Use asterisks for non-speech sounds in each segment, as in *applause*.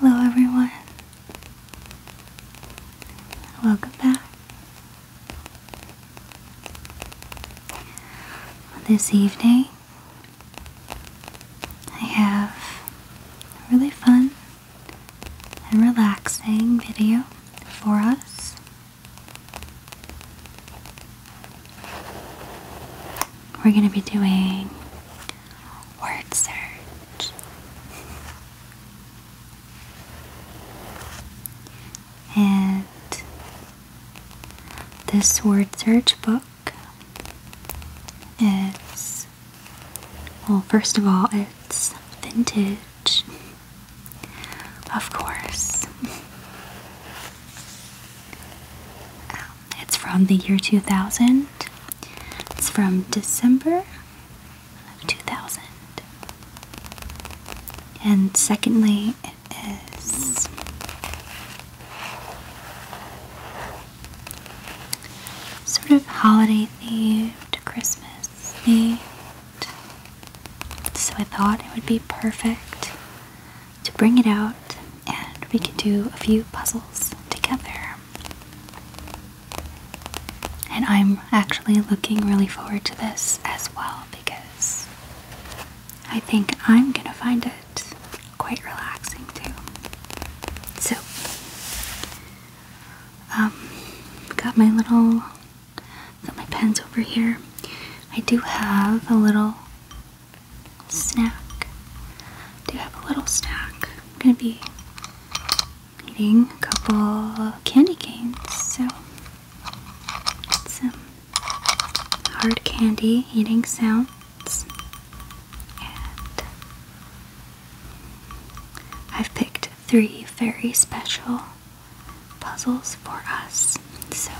Hello everyone. Welcome back. This evening I have a really fun and relaxing video for us. We're going to be doing word search. and this word search book is, well, first of all, it's vintage, of course. *laughs* Um, it's from the year 2000. It's from December 2000. And secondly, it is sort of holiday themed, Christmas themed. So I thought it would be perfect to bring it out and we can do a few puzzles together. And I'm actually looking really forward to this as well because I think I'm gonna find it quite relaxing too. So, um, got my little, got my pens over here. I do have a little snack. Do you have a little snack. I'm gonna be eating a couple candy canes, so some hard candy eating sounds. And I've picked three very special puzzles for us. So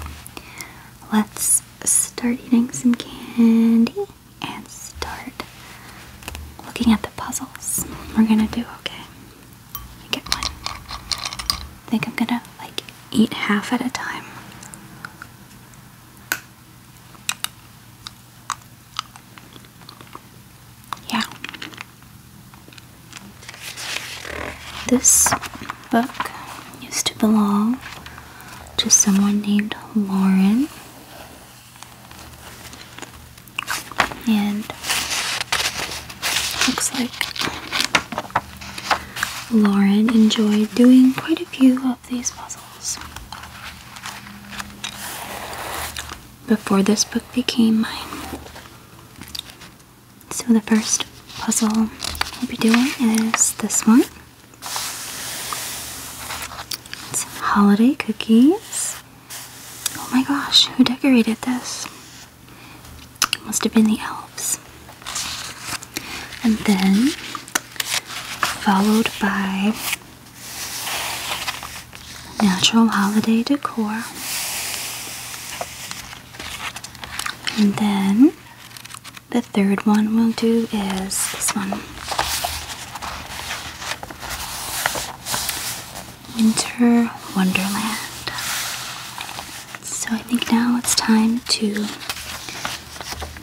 let's start eating some candy and start looking at the puzzles we're gonna do, okay? I get one. think I'm gonna like eat half at a time. Yeah. This book used to belong to someone named Lauren. And looks like Lauren enjoyed doing quite a few of these puzzles. Before this book became mine. So the first puzzle we'll be doing is this one holiday cookies. Oh my gosh, who decorated this? must have been the elves. And then, followed by natural holiday decor. And then the third one we'll do is this one Winter Wonderland. So I think now it's time to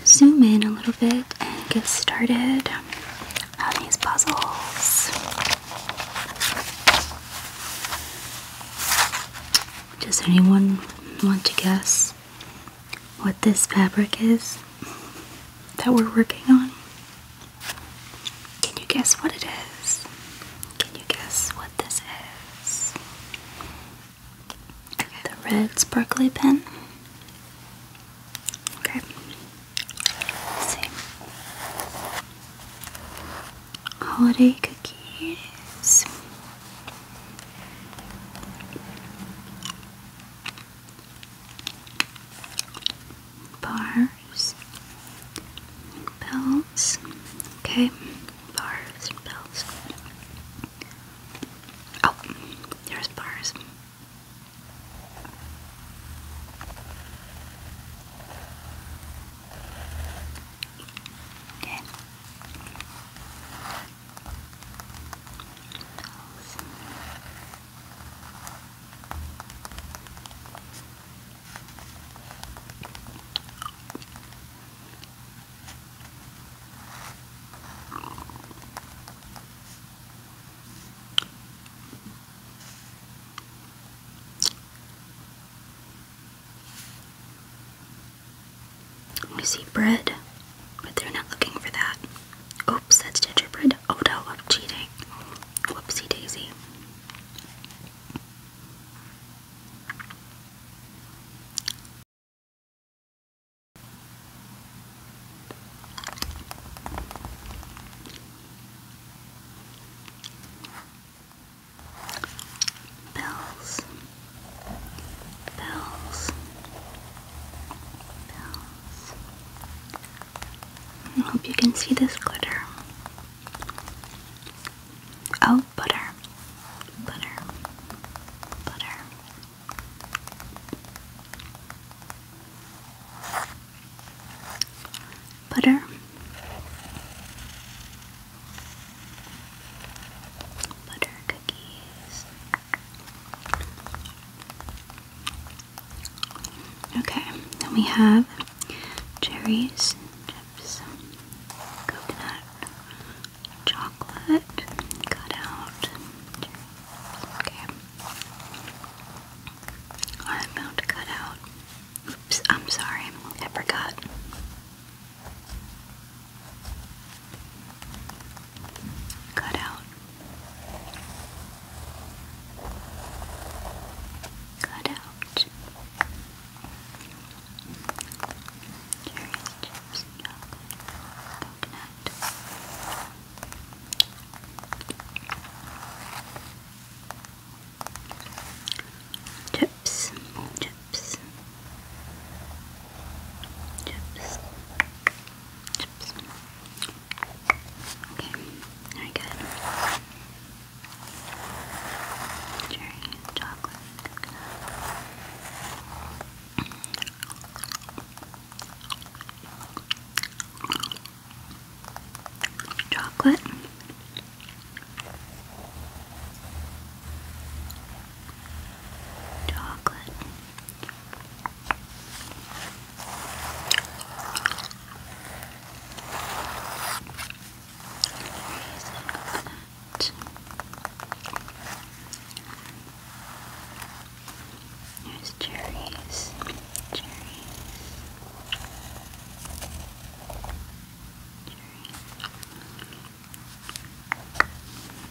zoom in a little bit and get started on these puzzles. Does anyone want to guess what this fabric is that we're working on? Can you guess what it is? Can you guess what this is? The red sparkly pen. Okay. see. Holiday cookies bars, bells. Okay, bars, bells. Oh, there's bars. Okay nose. You see bread but they're not looking for that. Oops, that's gingerbread. Oh no, I'm cheating. Whoopsie daisy. Bells, bells, I hope you can see this glitter. Oh, butter. Butter. Butter. Butter. Butter cookies. Okay, then we have cherries, chips, coconut, chocolate, cut Okay. I'm about to cut out. Oops, I'm sorry, I forgot cut out, cut out. Cherry chips, coconut. Chips, chips, chips. Okay, very good. Cherry, Chocolate. Chocolate. Chocolate. There's cherries, cherries, cherries,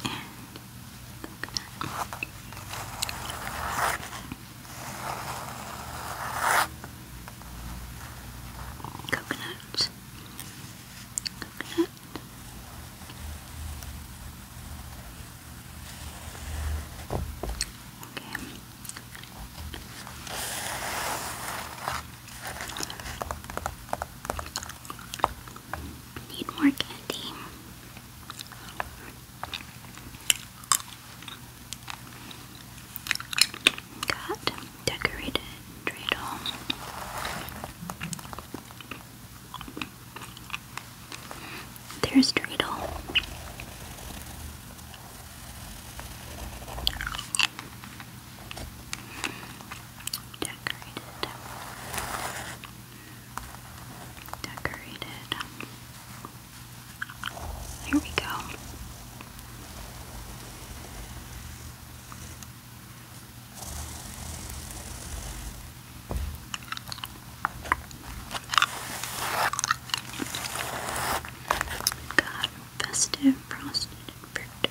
and coconut. Coconut. Okay. Need more candy. Got decorated dreidel. There's dreidel. Decorated decorated. There we go. Got festive frosted fruit.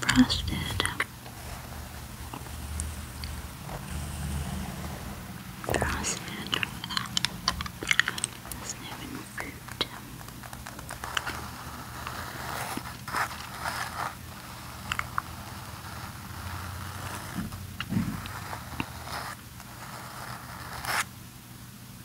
Frosted. Frosted. Doesn't have any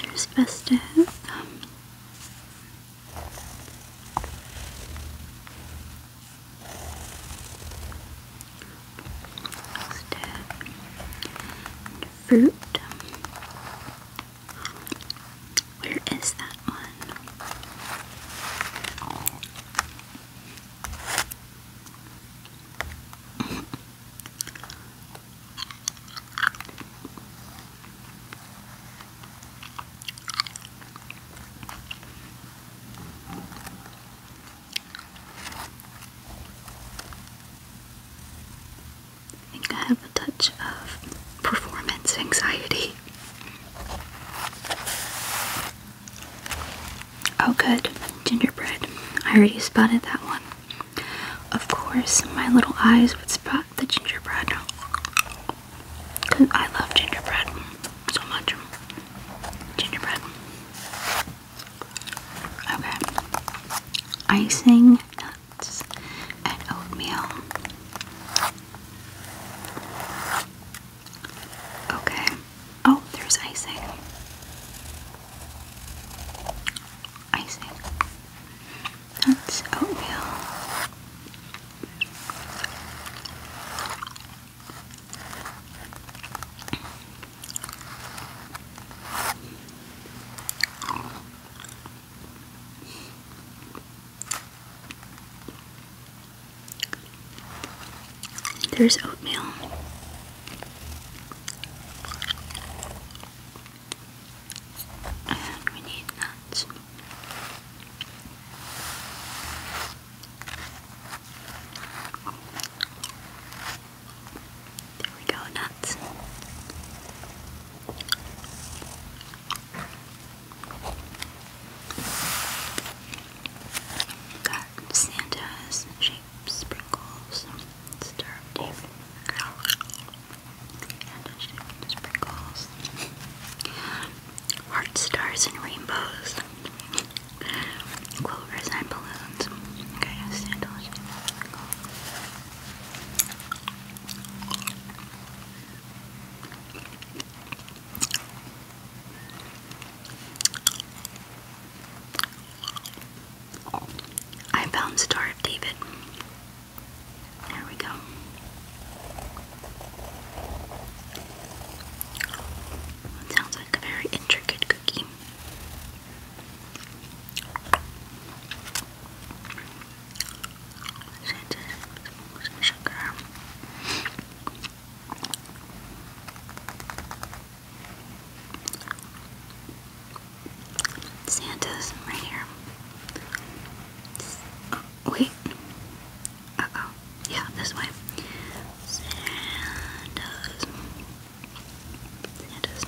There's Festive. Fruit. Where is that one? I think I have a touch of performance anxiety. Oh, good. Gingerbread. I already spotted that one. Of course, my little eyes would spot the gingerbread. Because I love gingerbread so much. Gingerbread. Okay. Icing, nuts, and oatmeal. Okay. Oh, there's icing. Icing. That's oatmeal. There's oatmeal. And we need nuts. There we go, nuts. Got Santa's shape sprinkles disturbed girl. And she sprinkles. Heart stars and rainbows. Clovers and balloons. sandals. I found Star of David. There we go. sounds like a very intricate cookie. sugar. Santa's right here. Wait. Uh oh. Yeah, this way. Santa's. Santa's.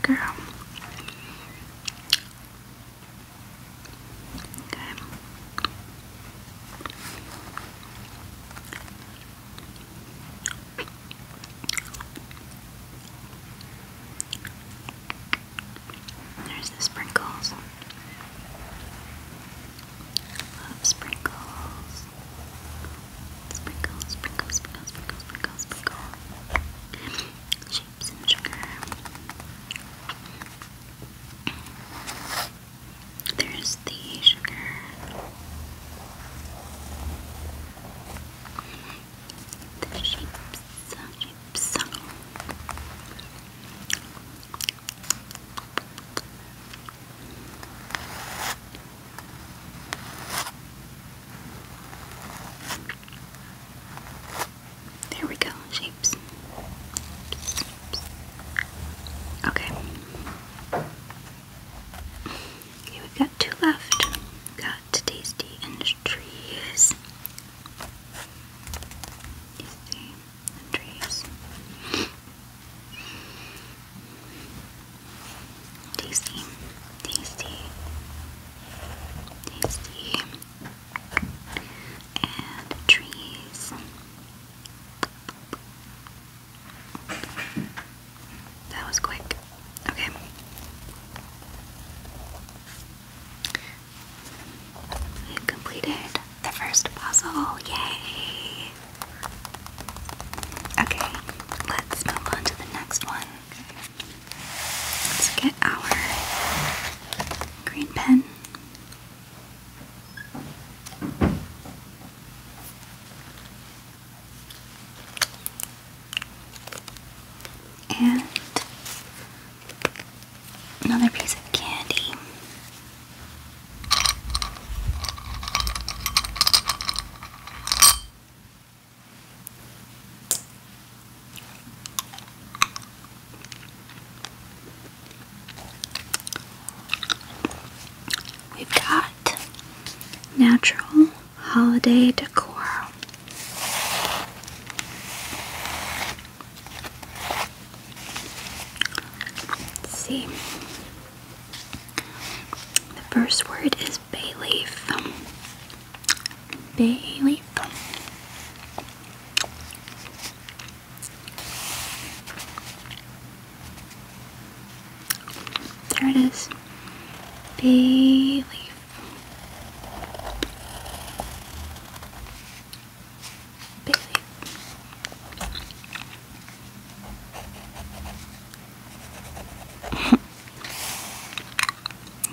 Okay. There's the sprinkles. Love sprinkles. Sprinkles, sprinkles, sprinkles, sprinkles, sprinkles, Shapes and sugar. There's the sugar. The shapes, shapes. There we go, shapes. Okay. Okay, we've got two left. got Tasty Industries. Tasty Industries. Tasty. Tasty. Tasty. And trees. That was quick. Okay. We completed the first puzzle. Yay! Okay, let's move on to the next one. Let's get our green pen. And another piece of candy. We've got natural holiday decor. see. The first word is bay leaf. Bay leaf. There it is. Believe. Believe.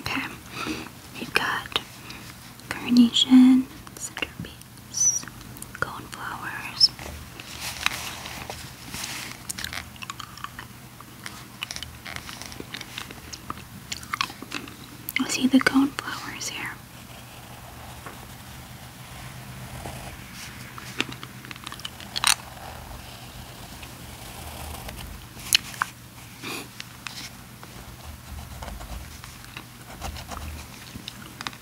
*laughs* okay. We've got carnation, centipede, leaves, coneflowers. See the cone flowers here.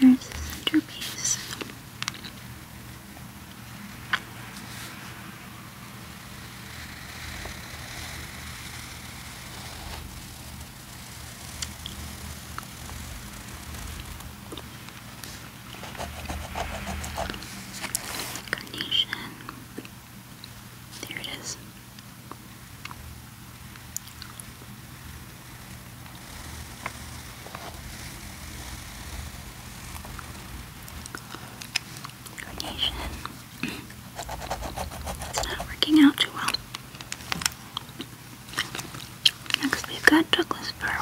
There's the centerpiece. Carnation. There it is. Radiation. it's not working out too well. Next, we've got Douglas fir.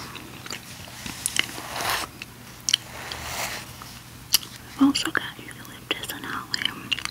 also got eucalyptus and holly.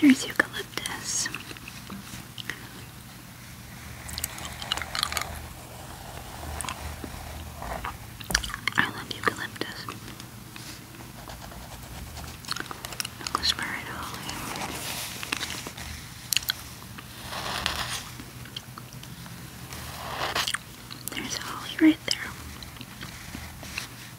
There's eucalyptus. I love eucalyptus. Nicholas Barrett Holly. There's Holly right there.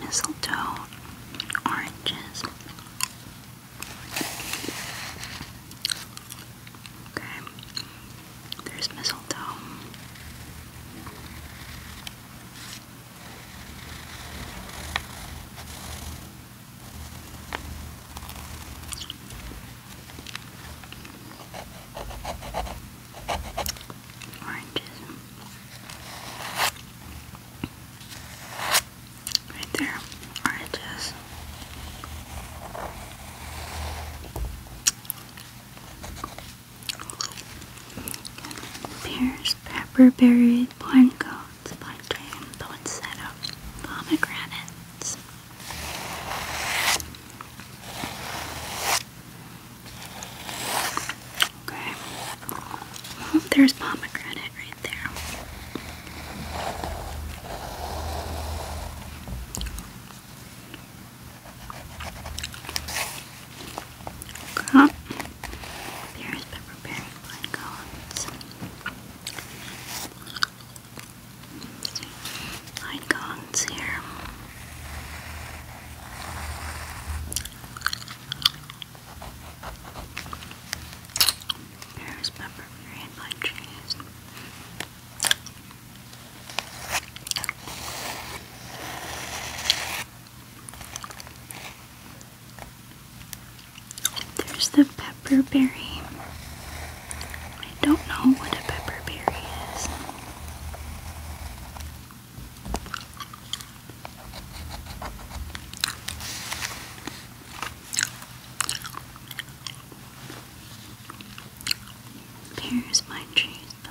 mistletoe, oranges. Okay, there's mistletoe. Oranges. Right there. Oranges. Pears, pepper berry, blanco, prawns by game, though instead of pomegranates. Okay. *laughs* there's pomegranate right there. Okay. There's pepper pine cones icons here. There's pepper green trees. There's the pepper berry. I don't know what a pepper berry is. Here's my tree that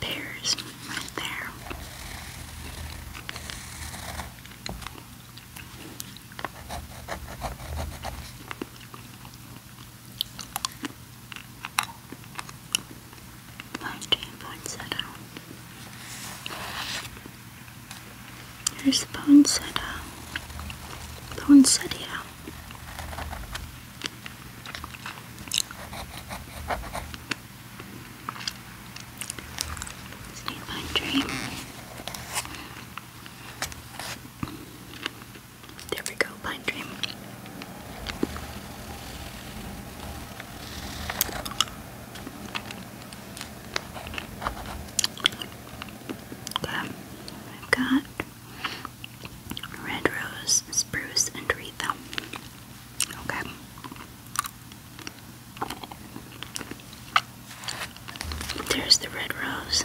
There's right there. Nineteen point seven. Here's the poinsettia. Poinsettia. Stay my dream. There we go, Pine Dream. I've got red rose, spruce, and aretha. Okay. There's the red rose.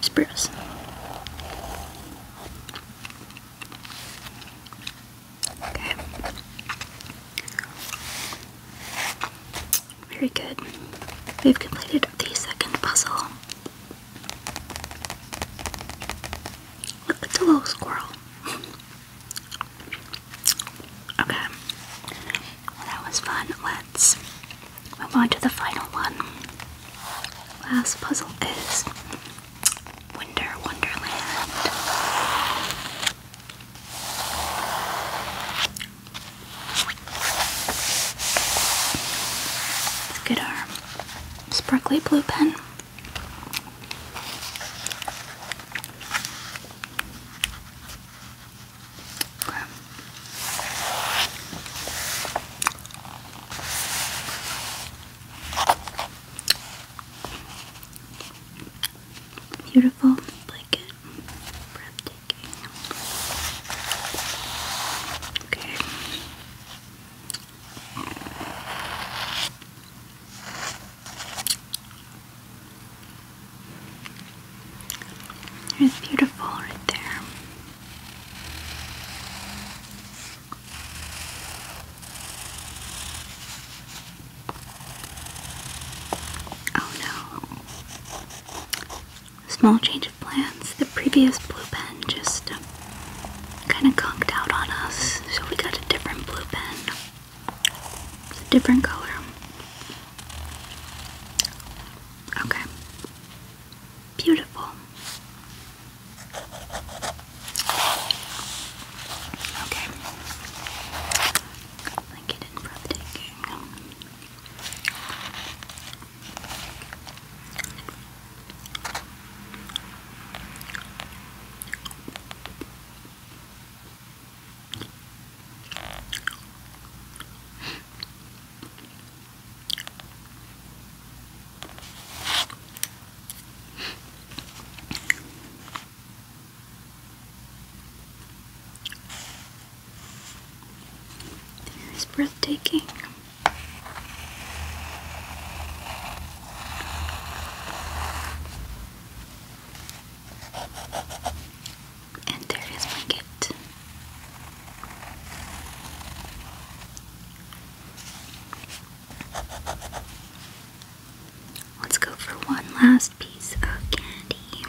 Spruce. Okay. Very good. We've completed the second puzzle. Look, it's a little squirrel. Okay. that was fun. Let's move on to the final one. Last puzzle is Winter Wonderland. Let's get our sparkly blue pen. Beautiful blanket, breathtaking. Okay. It's beautiful right there. Oh no. Small change of plans. The previous blue pen just uh, kind of conked out on us, so we got a different blue pen. It's a different color. Okay. Beautiful. Okay. Like it in it's breathtaking. And there is my gift. Let's go for one last piece of candy.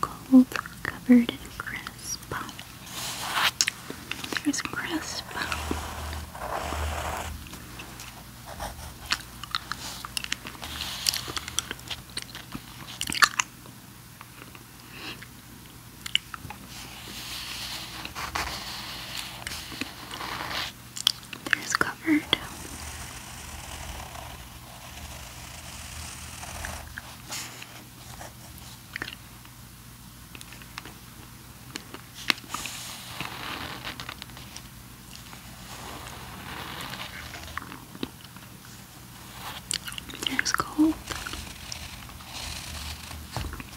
Cold, covered in crisp. There's crisp. There's covered. There's cold.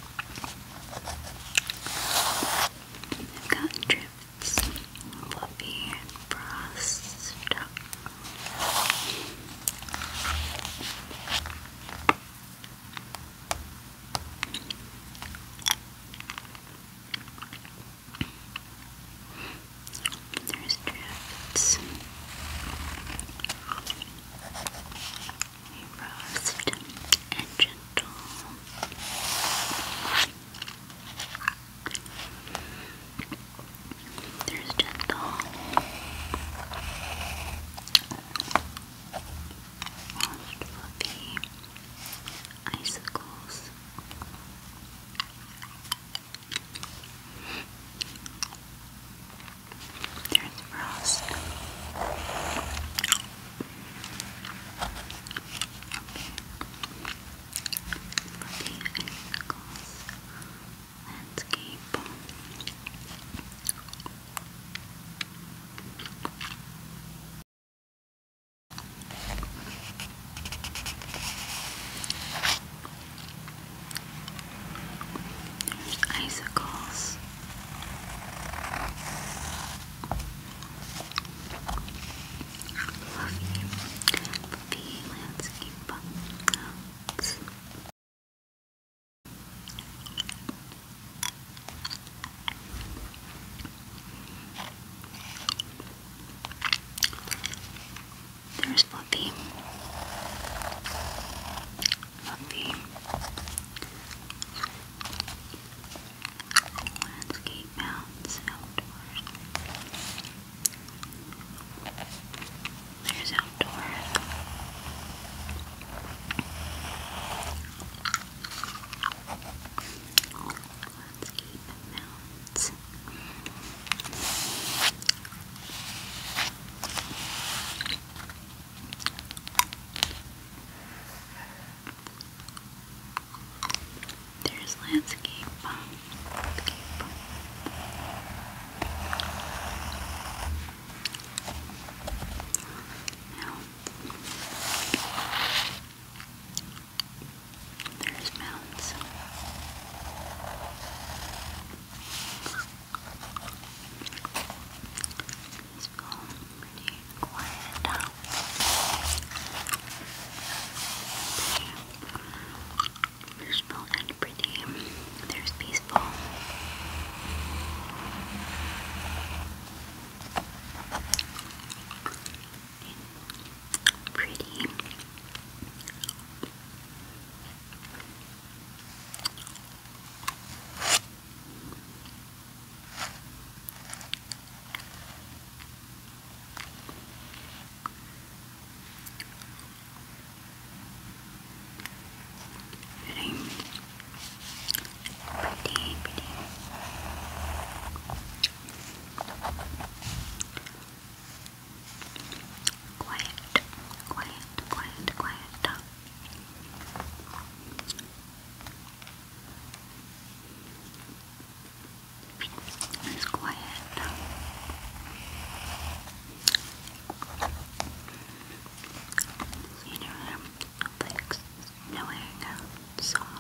I've got drips, fluffy and frost. There's drifts. Roast and gentle. There's gentle. Most fluffy icicles. There's frost. Okay. For landscape. There's icicles Fluffy, fluffy landscape bugs. There's Fluffy of the landscape mounds outdoors. There's outdoors. Landscape mounds. There's landscape. landscape. there's mountains. It's going pretty quiet now. Peaceful pretty. There's peaceful. Pretty. Pretty. Pretty, Quiet, quiet, quiet, quiet. It's quiet. You know, Netflix, knowing soft.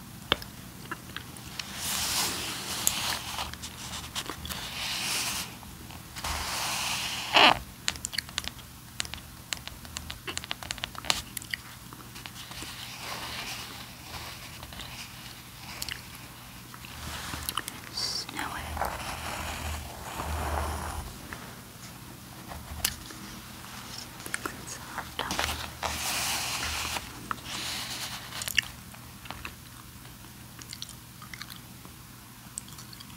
Snow it. Good.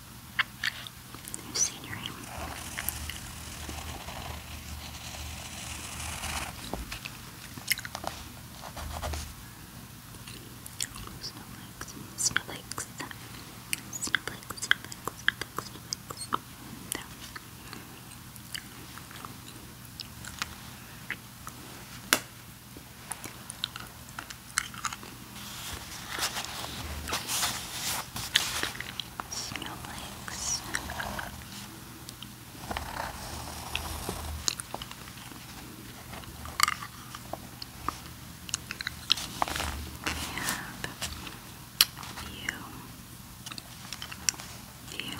new scenery. Snowflakes, snowflakes, snowflakes, snowflakes, snowflakes, snowflakes. There. Snowflakes. We have view, view.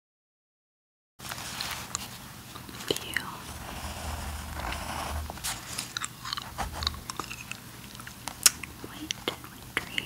View. Wait, wintry. Wintry.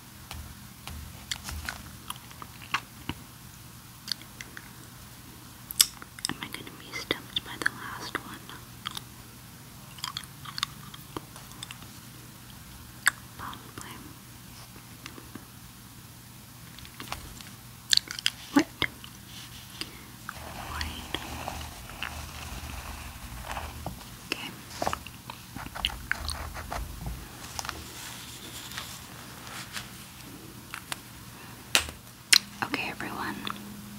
Am I going to be stumped by the last one? Probably. What? White. Okay. Okay, everyone.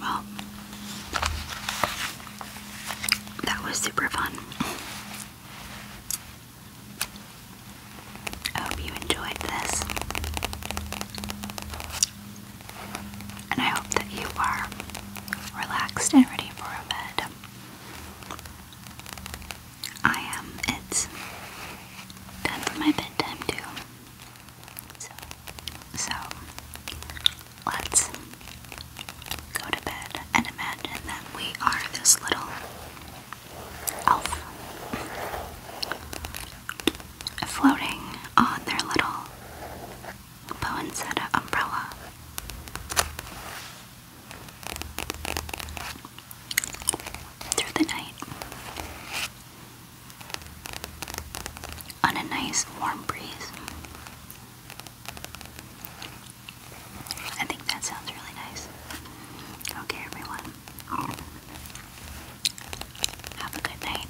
Well, that was super fun. I hope you enjoyed this. And I hope that you are relaxed and ready for bed. I am. Um, it's time for my bedtime too. So, so let's go to bed and imagine that we are this little elf floating on their little poinsettia umbrella through the night. On a nice warm breeze. I think that sounds really nice. Okay, everyone. Have a good night.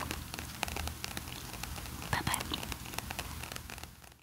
Bye bye.